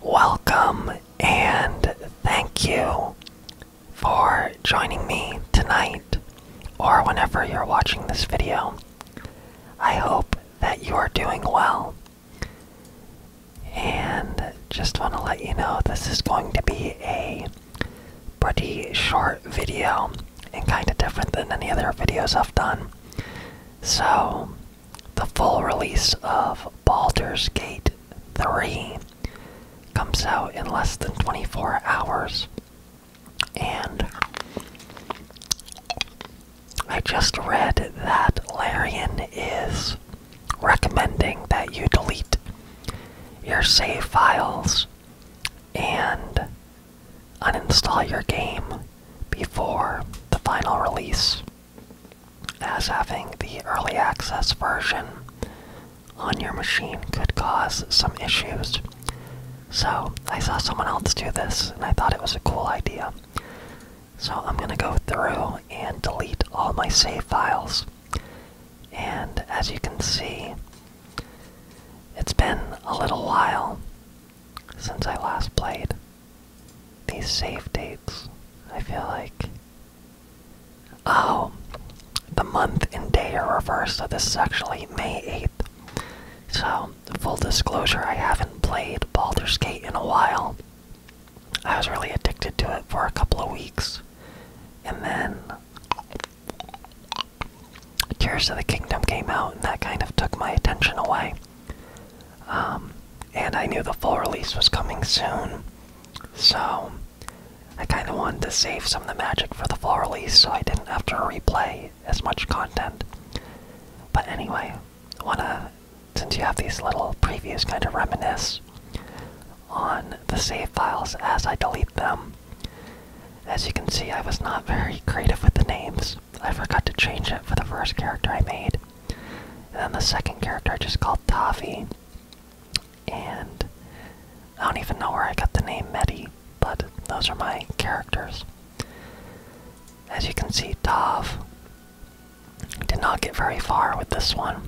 Welcome and thank you for joining me tonight or whenever you're watching this video. I hope that you are doing well. And just want to let you know this is going to be a pretty short video and kind of different than any other videos I've done. So the full release of Baldur's Gate 3 comes out in less than 24 hours. And I just read that Larian is recommending that you delete your save files and uninstall your game before the final release as having the early access version on your machine could cause some issues. So, I saw someone else do this and I thought it was a cool idea. So, I'm going to go through and delete all my save files. And as you can see, it's been a little while since I last played. These save dates, I feel like. Oh, the month and day are reversed, so this is actually May 8th. So, full disclosure, I haven't played Baldur's Gate in a while. I was really addicted to it for a couple of weeks. And then Tears of the Kingdom came out, and that kind of took my attention away. Um, and I knew the full release was coming soon, so I kind of wanted to save some of the magic for the full release so I didn't have to replay as much content. But anyway, I want to, since you have these little previews, kind of reminisce on the save files as I delete them. As you can see, I was not very creative with the names, I forgot to change it for the first character I made. And then the second character I just called Tavi. And I don't even know where I got the name Meddy, but those are my characters. As you can see, Tav did not get very far with this one.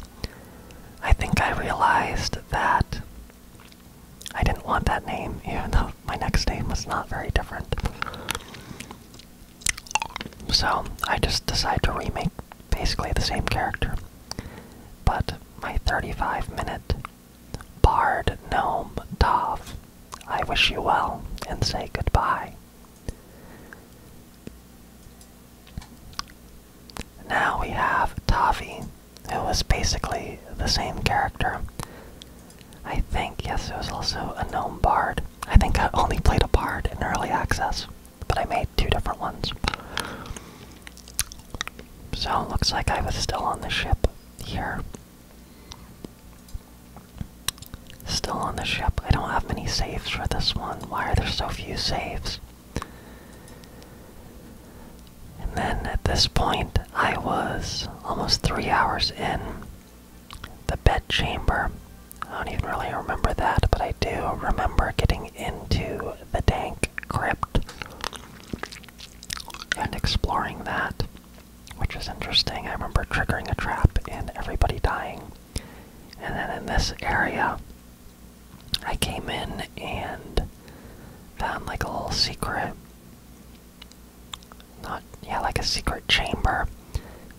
I think I realized that I didn't want that name, even though my next name was not very different. So I just decided to remake basically the same character. But my 35 minute Bard Gnome Dov, I wish you well and say goodbye. Now we have Tavi, who is basically the same character, I think, yes, it was also a gnome bard. I think I only played a bard in early access, but I made two different ones. So looks like I was still on the ship here. Still on the ship. I don't have many saves for this one. Why are there so few saves? And then at this point, I was almost three hours in. The bed chamber. I don't even really remember that, but I do remember getting into the dank crypt and exploring that, which is interesting. I remember triggering a trap and everybody dying. And then in this area, I came in and found like a little secret not yeah, like a secret chamber,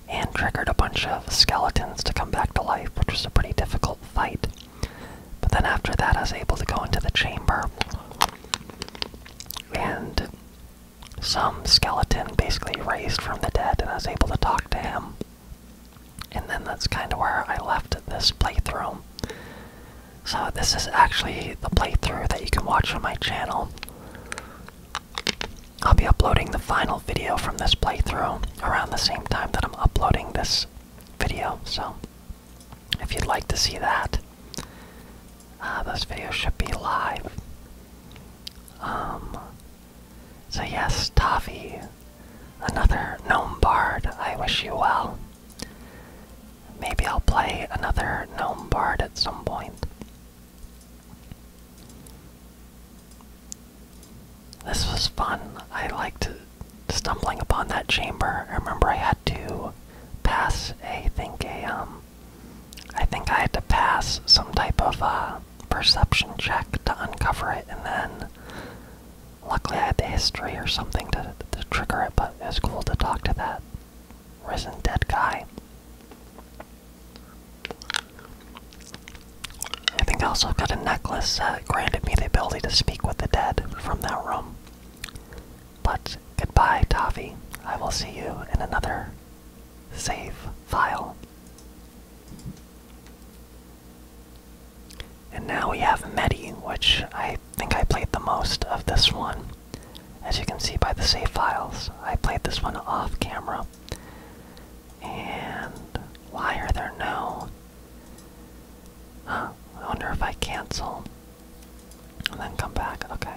and triggered a bunch of skeletons to come back to life, which was a pretty difficult fight. But then after that, I was able to go into the chamber, and some skeleton basically raised from the dead, and I was able to talk to him. And then that's kind of where I left this playthrough. So, this is actually the playthrough that you can watch on my channel. I'll be uploading the final video from this playthrough around the same time that I'm uploading this video, so if you'd like to see that, uh, this video should be live. Um, so yes, Taffy, another gnome bard. I wish you well. Maybe I'll play another gnome bard at some point. This was fun. I liked stumbling upon that chamber. I remember I had to pass a think a um I think I had to pass some type of uh perception check to uncover it and then luckily I had the history or something to, to trigger it, but it was cool to talk to that risen dead guy. I think I also got a necklace that granted me the ability to speak with the dead from that room. But goodbye, Tavi. I will see you in another save file. And now we have Medi, which I think I played the most of this one. As you can see by the save files, I played this one off camera. And why are there no. Huh, I wonder if I cancel and then come back. Okay.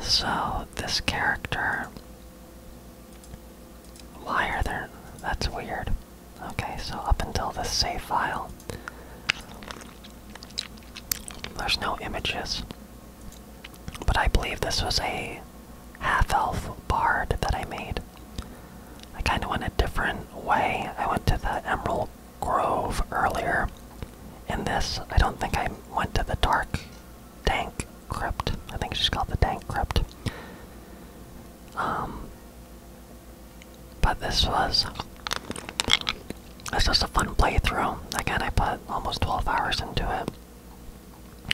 So, this character. Why are there. That's weird. Okay, so up until this save file, there's no images. But I believe this was a half elf bard that I made. I kind of went a different way. I went to the Emerald Grove earlier. In this, I don't think I went to the Dark Dank Crypt. I think she's called the Dank Crypt. Um, but this was it's just a fun playthrough. Again, I put almost 12 hours into it.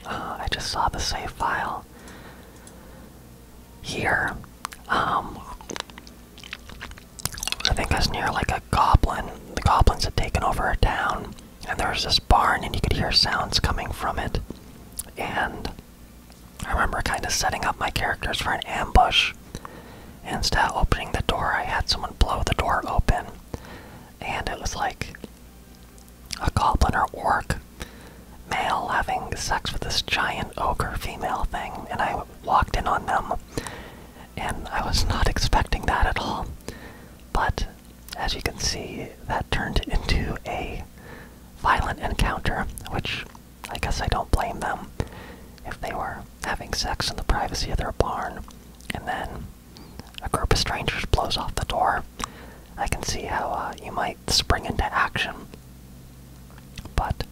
Uh, I just saw the save file here. Um, I think it's near like a goblin. The goblins had taken over a town, and there was this barn, and you could hear sounds coming from it. And I remember kind of setting up my characters for an ambush Instead of opening the door, I had someone blow the door open. And it was like a goblin or orc male having sex with this giant ogre female thing. And I walked in on them. And I was not expecting that at all. But as you can see, that turned into a violent encounter, which I guess I don't blame them. If they were having sex in the privacy of their barn, and then a group of strangers blows off the door. I can see how uh, you might spring into action. But,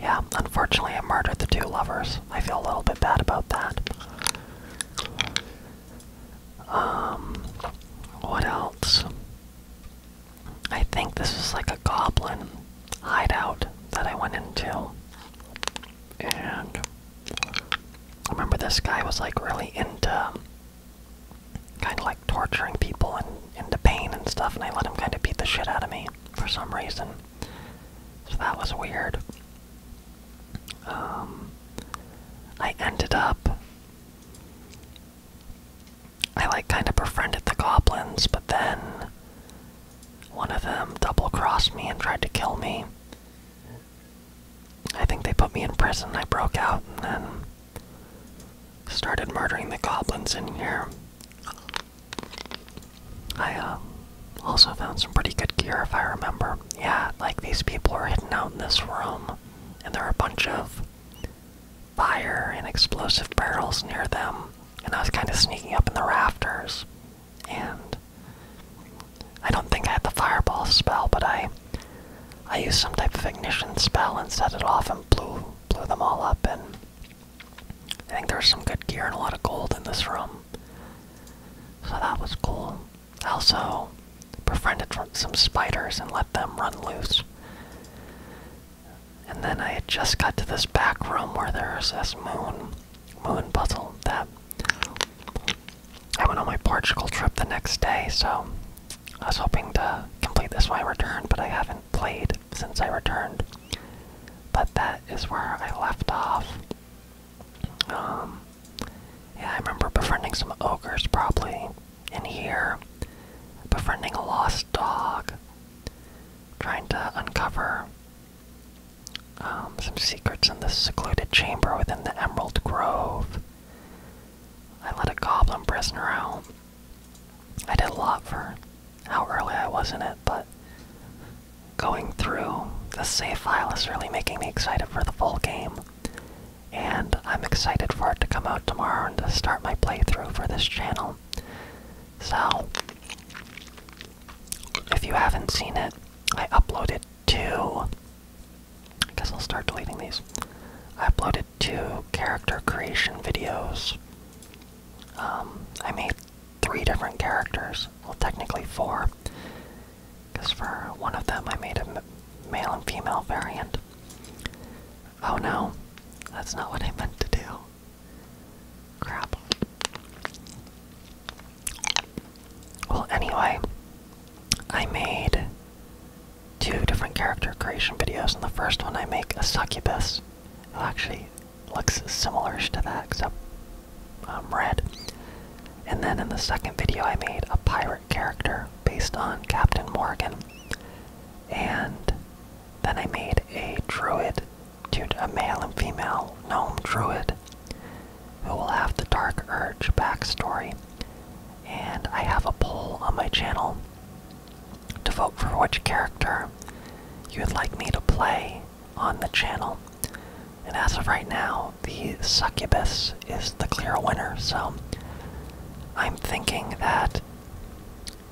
yeah, unfortunately, I murdered the two lovers. I feel a little bit bad about that. Um, what else? I think this is like a goblin hideout that I went into. And remember this guy was like really into kind of like torturing people and into pain and stuff, and I let him kind of beat the shit out of me for some reason. So that was weird. Um, I ended up. I like kind of befriended the goblins, but then one of them double crossed me and tried to kill me. I think they put me in prison. I broke out and then started murdering the goblins in here. I uh, also found some pretty good gear if I remember. Yeah, like these people are hidden out in this room, and there are a bunch of fire and explosive barrels near them and I was kind of sneaking up in the rafters, and I don't think I had the fireball spell, but I I used some type of ignition spell and set it off and blew blew them all up, and I think there's some good gear and a lot of gold in this room, so that was cool. also befriended some spiders and let them run loose. And then I had just got to this back room where there's this moon, moon puzzle that I went on my Portugal trip the next day, so I was hoping to complete this when I returned, but I haven't played since I returned. But that is where I left off. Um, yeah, I remember befriending some ogres probably in here, befriending a lost dog trying to uncover um, some secrets in this secluded chamber within the Emerald Grove. I let a goblin prisoner out. I did a lot for how early I was in it, but going through the save file is really making me excited for the full game. And I'm excited for it to come out tomorrow and start my playthrough for this channel. So, if you haven't seen it, I uploaded two. I guess I'll start deleting these. I uploaded two character creation videos. Um, I made three different characters. Well, technically four. Because for one of them, I made a male and female variant. Oh no, that's not what I meant to do. Crap. Well, anyway, I made two different character creation videos, and the first one I make a succubus, actually looks similar to that, except um, red. And then in the second video, I made a pirate character based on Captain Morgan. And then I made a druid to a male and female gnome druid who will have the Dark Urge backstory. And I have a poll on my channel to vote for which character you would like me to play on the channel. And as of right now, the succubus is the clear winner, so I'm thinking that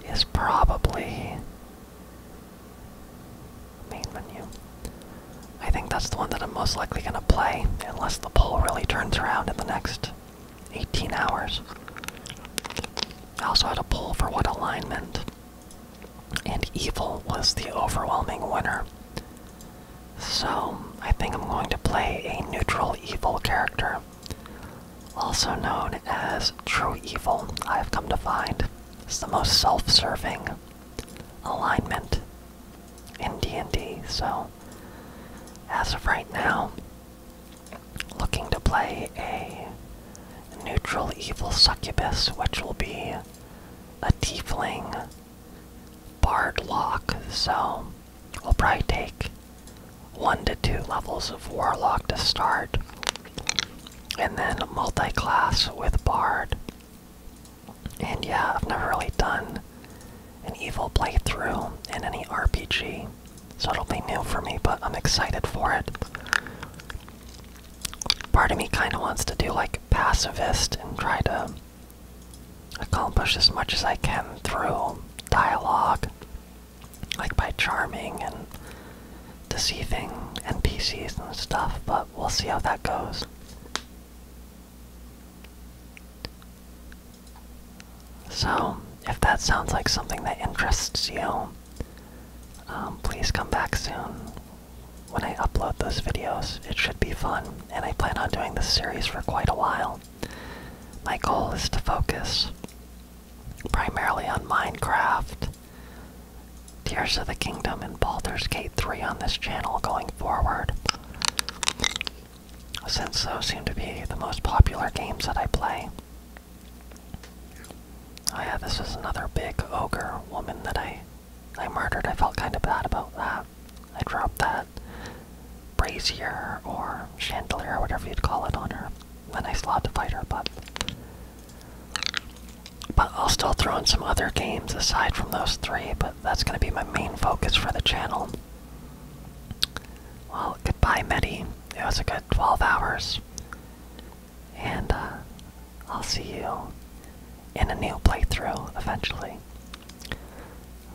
is probably Main menu. I think that's the one that I'm most likely going to play, unless the poll really turns around in the next 18 hours. I also had a poll for what alignment, and evil was the overwhelming winner. So, I think I'm going to play a neutral evil character also known as true evil, I have come to find, is the most self-serving alignment in D&D. So, as of right now, looking to play a neutral evil succubus, which will be a tiefling bard lock. So, we'll probably take one to two levels of Warlock to start, and then multi class with Bard. And yeah, I've never really done an evil playthrough in any RPG, so it'll be new for me, but I'm excited for it. Part of me kind of wants to do like pacifist and try to accomplish as much as I can through dialogue like by charming and deceiving NPCs and stuff, but we'll see how that goes. So, if that sounds like something that interests you, um, please come back soon when I upload those videos. It should be fun, and I plan on doing this series for quite a while. My goal is to focus primarily on Minecraft, Tears of the Kingdom, and Baldur's Gate 3 on this channel going forward. Since those seem to be the most popular games that I play. Oh yeah, this is another big ogre woman that I I murdered. I felt kinda bad about that. I dropped that brazier or chandelier or whatever you'd call it on her when I slot fighter buff. But I'll still throw in some other games aside from those three, but that's going to be my main focus for the channel. Well, goodbye, Medi. It was a good 12 hours. And uh, I'll see you in a new playthrough eventually.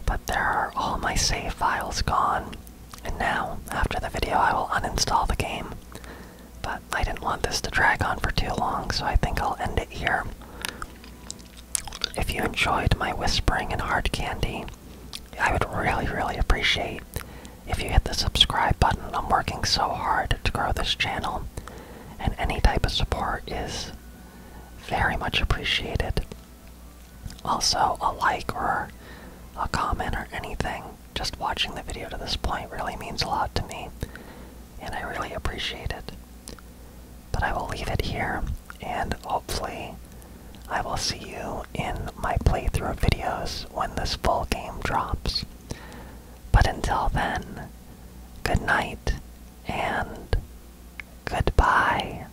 But there are all my save files gone. And now, after the video, I will uninstall the game. But I didn't want this to drag on for too long, so I think I'll end it here. If you enjoyed my whispering in hard candy, I would really, really appreciate if you hit the subscribe button. I'm working so hard to grow this channel, and any type of support is very much appreciated. Also, a like or a comment or anything just watching the video to this point really means a lot to me, and I really appreciate it. But I will leave it here, and hopefully, I will see you in my playthrough videos when this full game drops. But until then, good night and goodbye.